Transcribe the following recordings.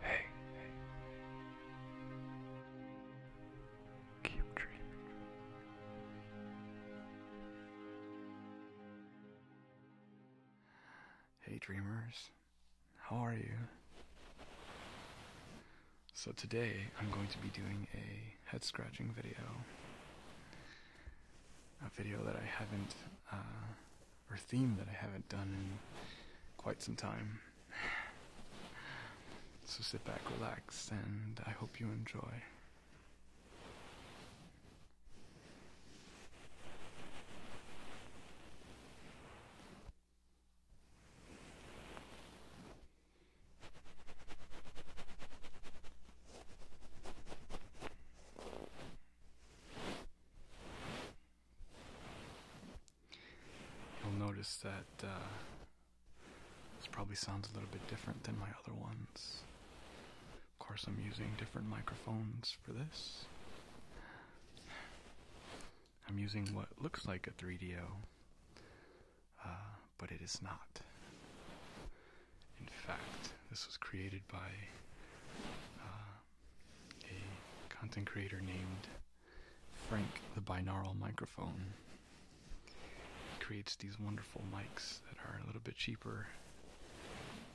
Hey, Keep dreaming. Hey, dreamers. How are you? So, today I'm going to be doing a head scratching video. A video that I haven't uh, or theme that I haven't done in quite some time. So sit back, relax, and I hope you enjoy. You'll notice that uh, this probably sounds a little bit different than my other ones. Of course, I'm using different microphones for this. I'm using what looks like a 3DO, uh, but it is not. In fact, this was created by uh, a content creator named Frank the Binaural Microphone. creates these wonderful mics that are a little bit cheaper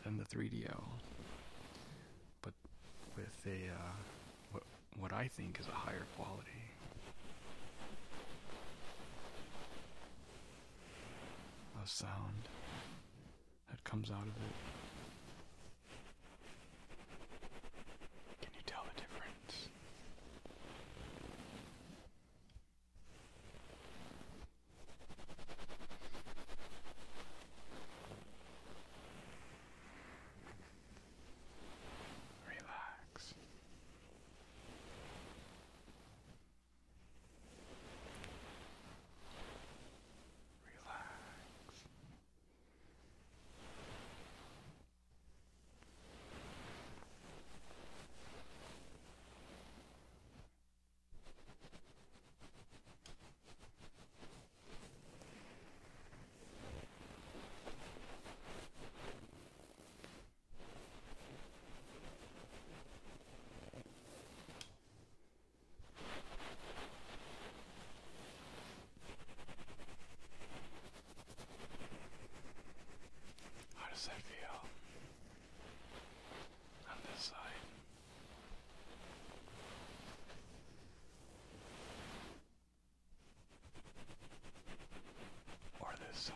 than the 3 dl but with a uh, what I think is a higher quality. Of sound that comes out of it. Can you tell the difference? Relax relax. Good. How does that feel? On this side. Or this side.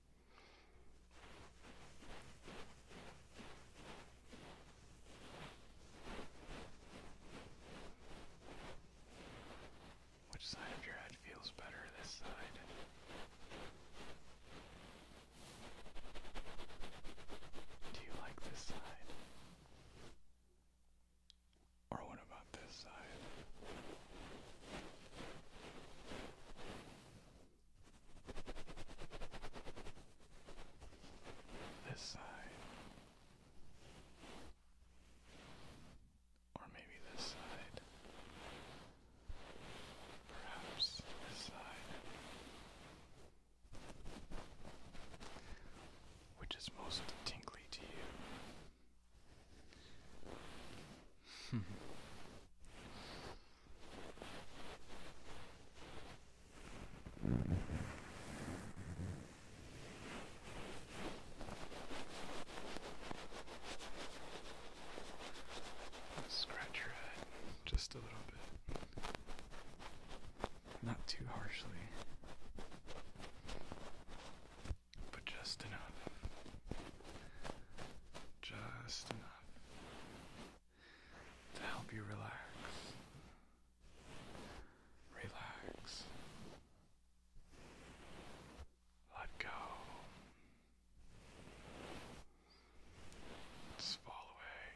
Which side of your head feels better? This side. Do you like this side? Or what about this side? This side. Or maybe this side. Perhaps this side. Which is most tingly to you? Let's scratch your head just a little bit. Not too harshly, but just enough. Just enough to help you relax. Relax. Let go. let fall away.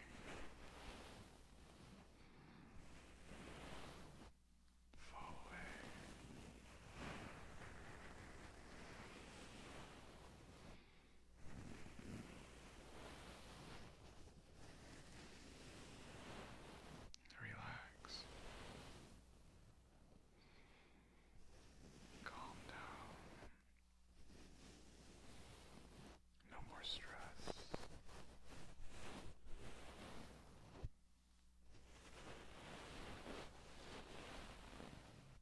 Fall away. Relax. Calm down. No more stress.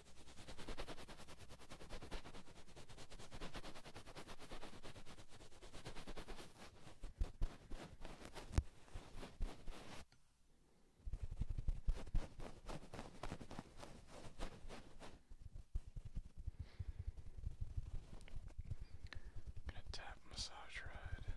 I'm gonna tap massage right.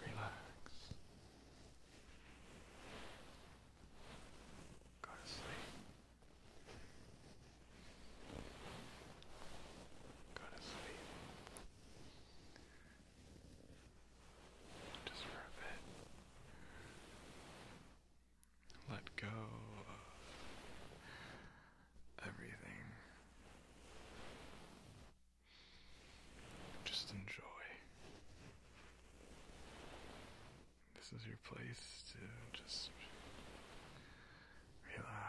Relax. Go to sleep. Go to sleep. Just for a bit. Let go of everything. Just enjoy. This is your place to just relax.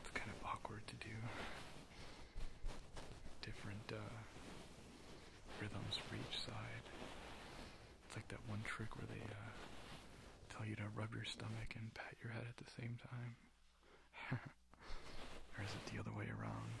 It's kind of awkward to do different uh, rhythms for each side. It's like that one trick where they uh, tell you to rub your stomach and pat your head at the same time. or is it the other way around?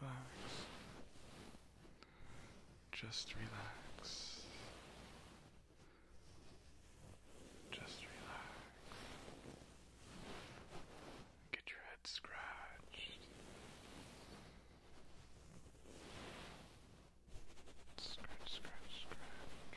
Relax. Just relax. Just relax. Get your head scratched. Scratch, scratch, scratch.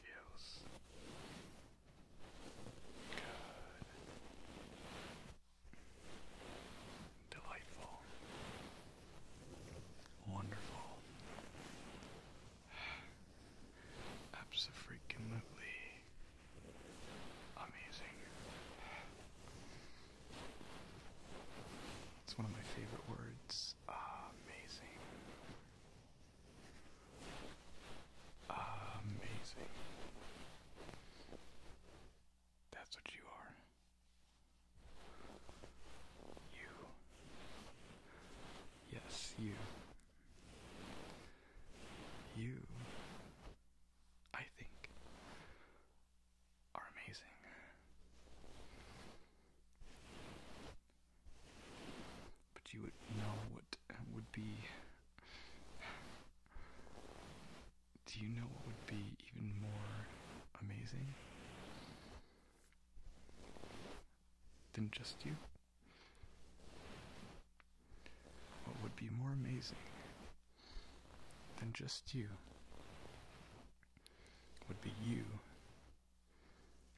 feels good, delightful, wonderful, absolutely amazing. It's one of my favorite words. Amazing. Amazing. That's what you are. You. Yes, you. You, I think, are amazing. But you would know what would be. Do you know what would be even more amazing than just you? What would be more amazing than just you would be you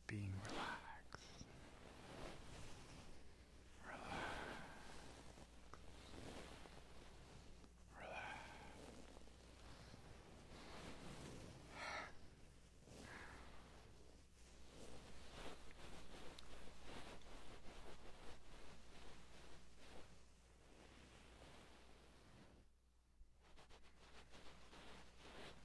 being relaxed. Relax. Relax. Relax.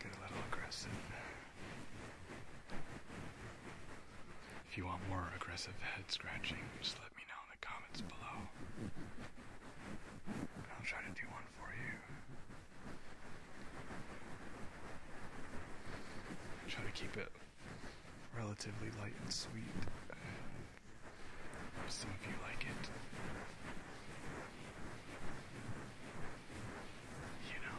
Get a little aggressive. If you want more aggressive head scratching, just let me know in the comments below. And I'll try to do one for you. I'll try to keep it relatively light and sweet. Some of you like it. You know.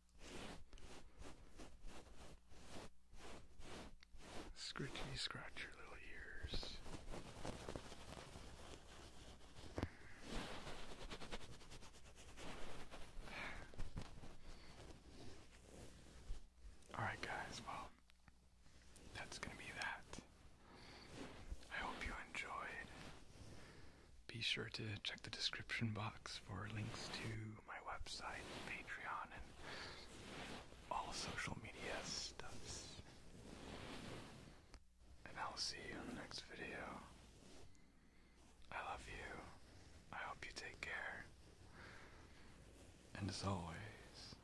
Scratchy, scratch your little ears. Alright, guys, well, that's gonna be that. I hope you enjoyed. Be sure to check the description box for links to my website, Patreon, and all social media stuffs. And I'll see you in the next video. I love you. I hope you take care. And as always,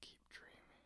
keep dreaming.